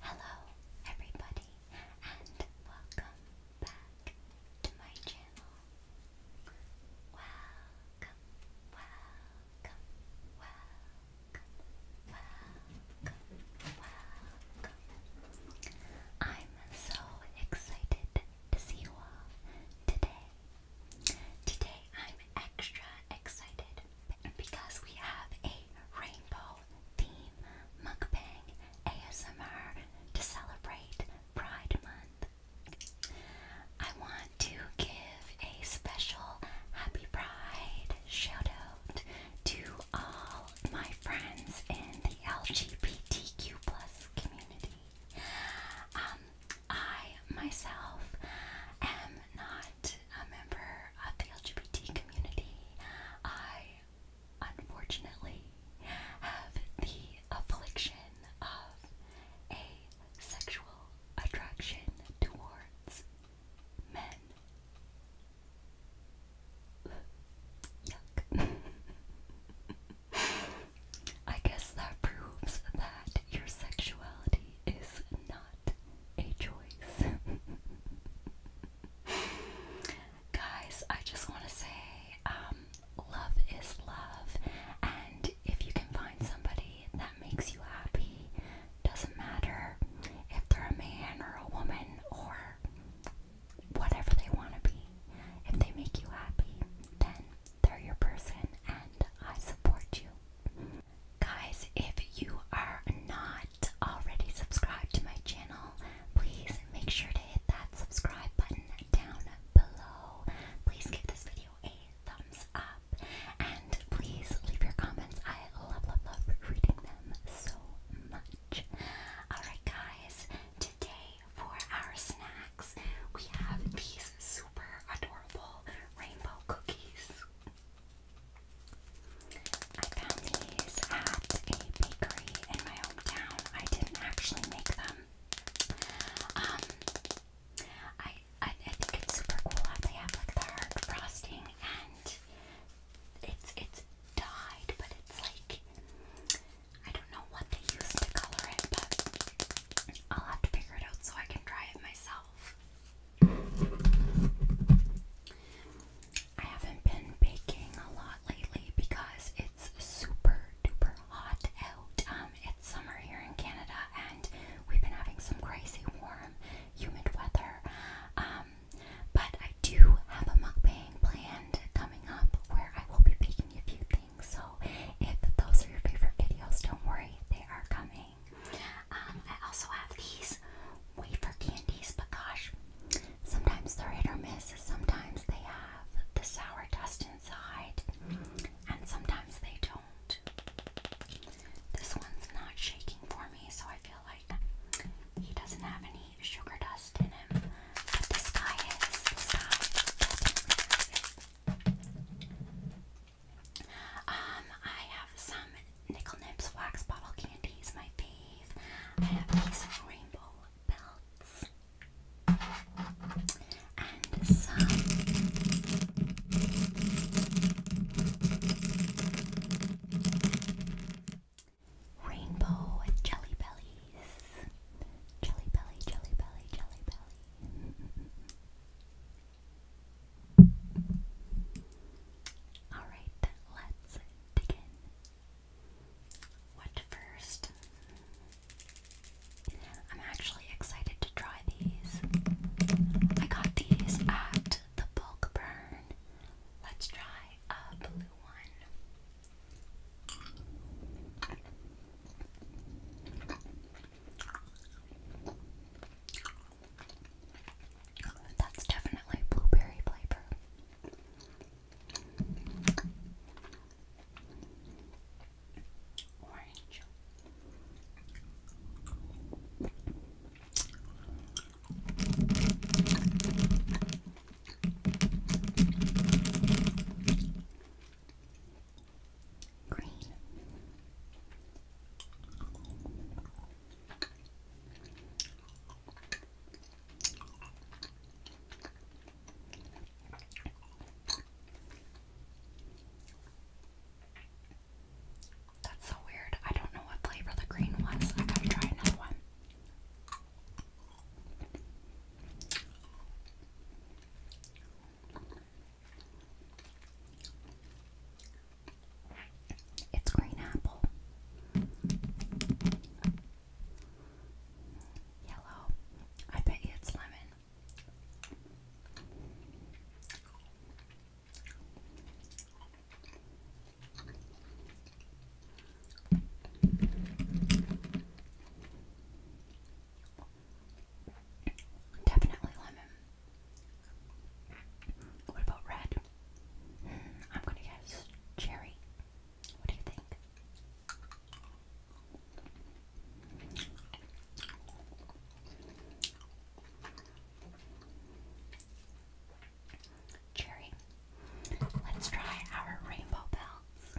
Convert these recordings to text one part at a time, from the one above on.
Hello, everybody, and welcome back to my channel welcome, welcome, welcome, welcome, welcome. I'm so excited to see you all today. Today I'm extra excited because we have a rainbow theme mukbang ASMR to celebrate Pride Month. I want to give a special Happy Pride shout out to all my friends in the LGBTQ plus community. Um, I myself am not a member of the LGBT community. I unfortunately, have the affliction of a sexual attraction towards men. Yuck. I guess that proves that your sexuality is not a choice. guys, I just want to say um, love is love, and if you can find somebody that makes you happy, doesn't matter if they're a man or a woman or whatever they want to be, if they make you happy, then they're your person, and I support you. Guys, if you are not already subscribed to my channel, please make sure to hit that subscribe button down below. Please give this video a thumbs up and please leave your comments. I love, love, love reading them so much. Alright, guys, today for our snacks, we have these super adorable rainbow cookies. I found these at a bakery in my down. I didn't actually make them. Um, I, I think it's super cool how they have like the hard frosting and it's it's dyed, but it's like I don't know what they use to color it, but I'll have to figure it out so I can try it myself. I haven't been baking a lot lately because it's super duper hot out. Um, it's summer here in Canada and we've been having some crazy warm, humid weather. Um, but I do have a mukbang planned coming up where I will be baking a few things. So if those are your favorite videos, don't worry, they are coming. Um, I also have these wafer candies, but gosh, Sometimes they're hit or miss. Sometimes they have the sour dust inside, and sometimes they don't. This one's not shaking for me, so I feel like he doesn't have any sugar dust in him. But this guy is. Um, I have some Nickel Nips wax bottle candies, my fave. I have of rainbow belts and some rainbow jelly bellies. Jelly belly, jelly belly, jelly belly. Alright, let's dig what first? I'm actually excited to try these. I got these at the bulk burn. Let's try a blue one. That's definitely blueberry flavor. Orange. Green. That's so weird. I don't know what flavor the green was. I gotta try another one. It's green apple. Yellow. I bet it's lemon. Definitely lemon. What about red? I'm gonna guess cherry. What do you think? Cherry. Let's try our rainbow bells.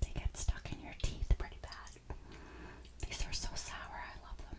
They get stuck in your teeth pretty bad. These are so sour, I love them.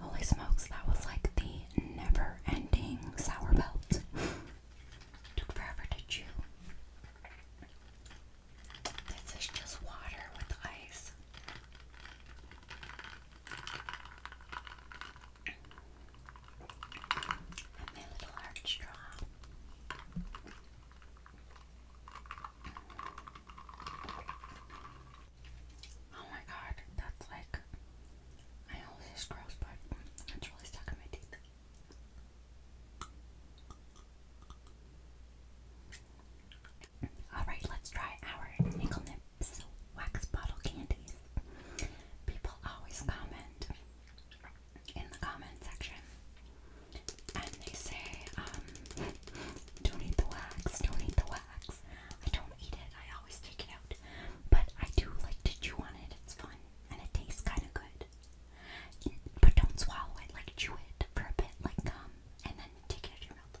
Holy smokes, that was like the never ending sour belt. Took forever to chew. This just water with ice. my little art straw. Oh my god, that's like I always just gross, but it's really stuck in my teeth. Alright, let's try our nickel nips wax bottle candies. People always comment in the comment section and they say, um, don't eat the wax, don't eat the wax. I don't eat it, I always take it out. But I do like to chew on it, it's fun, and it tastes kind of good. But don't swallow it, like chew it for a bit, like gum, and then take it out of your mouth.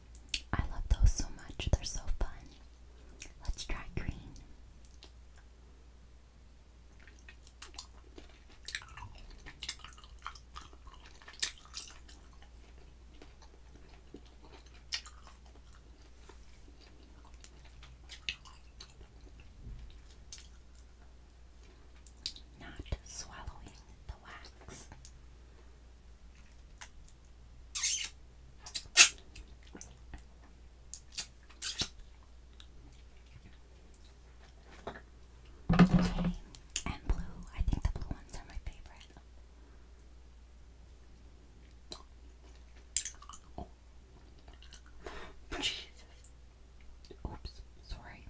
I love those so much. They're so fun. Let's try green. Not swallowing the wax. Okay. And blue. I think the blue ones are my favorite. Oh. Jesus. Oops, sorry.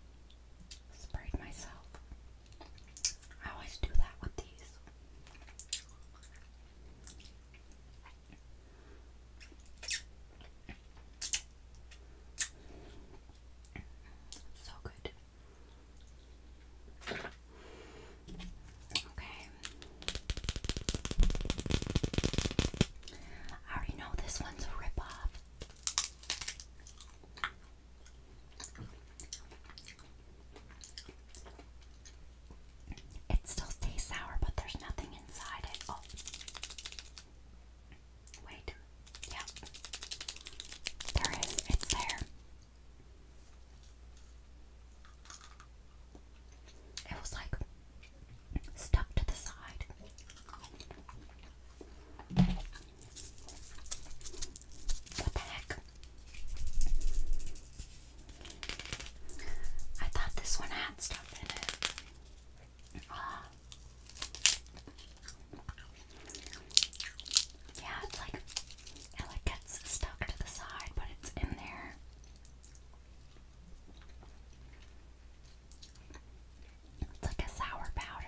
Sprayed myself. I always do that with these. So good. Okay. I already know this one's a rip it still tastes sour, but there's nothing inside it. Oh. Wait. Yeah. There is. It's there. It was like stuck to the side. The back. I thought this one had stuff in it. Yeah, it's like it gets stuck to the side, but it's in there. It's like a sour powder.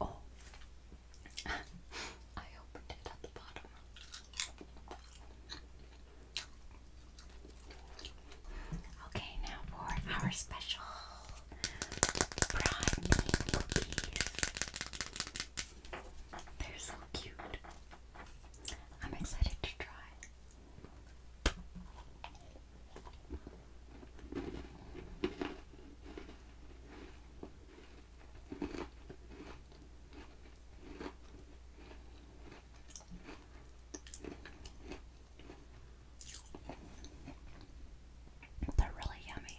Oh, I opened it at the bottom. Okay, now for our special praline cookies. They're so cute. I'm excited to try. They're really yummy.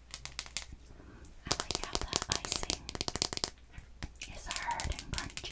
I like how the icing is hard and crunchy.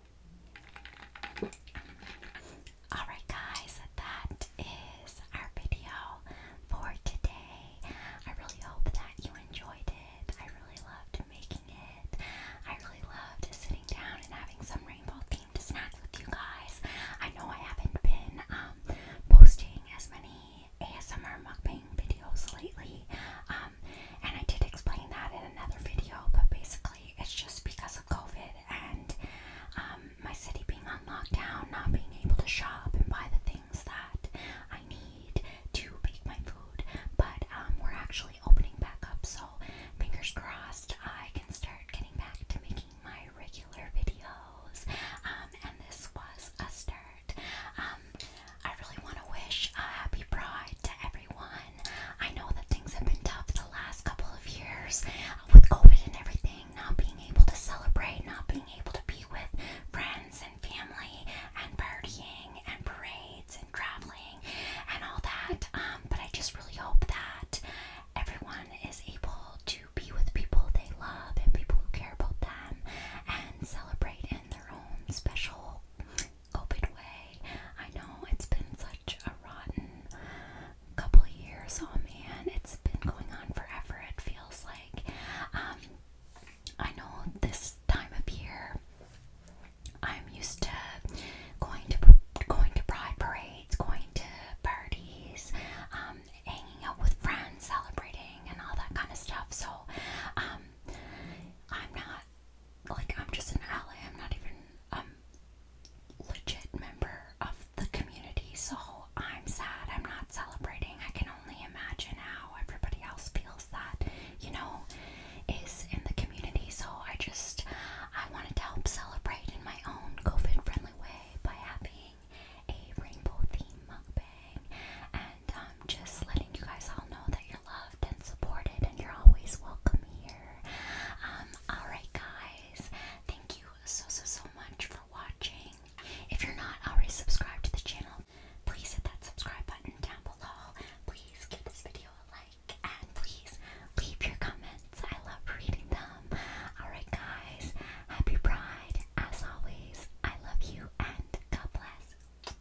Alright, guys, that is our video for today. I really hope that you enjoyed it. I really loved making it. I really loved sitting down and having some rainbow themed snack with you guys. I know I haven't been um, posting as many ASMR mukbang videos lately, um, and I did explain that in another video, but basically it's just because COVID and um, my city being on lockdown, not being able to shop and buy the things that I need to make my food. But um, we're actually opening back up, so fingers crossed I can start getting back to making my regular videos. Um, and this was a start. I really want to wish a happy pride to everyone. I know that things have been tough the last couple of years with COVID and everything, not being able to celebrate, not being able to be with friends and family and partying and parades and traveling and all that. Um, but I just really hope that everyone is able to be with people they love and people who care about them and celebrate in their own special COVID way. I know it's been such a rotten couple of years. Oh man, it's been going on forever, it feels like. Um, I know this time of year I'm used to going to going to pride parades, going to parties, um, hanging out with friends, celebrating, and all that kind of stuff. So, um, I'm not like I'm just an ally. I'm not even um legit member of the community, so I'm sad I'm not celebrating. I can only imagine how everybody else feels that, you know, is in the community. So I just I wanted to help celebrate in my own COVID friendly way by having a rainbow theme mukbang and um just letting you guys all know that you're loved and supported and you're always welcome here. Um, Alright, guys, thank you so, so, so much for watching. If you're not already subscribed to the channel, please hit that subscribe button down below. Please give this video a like and please leave your comments. I love reading them. Alright, guys, happy Pride. As always, I love you and God bless.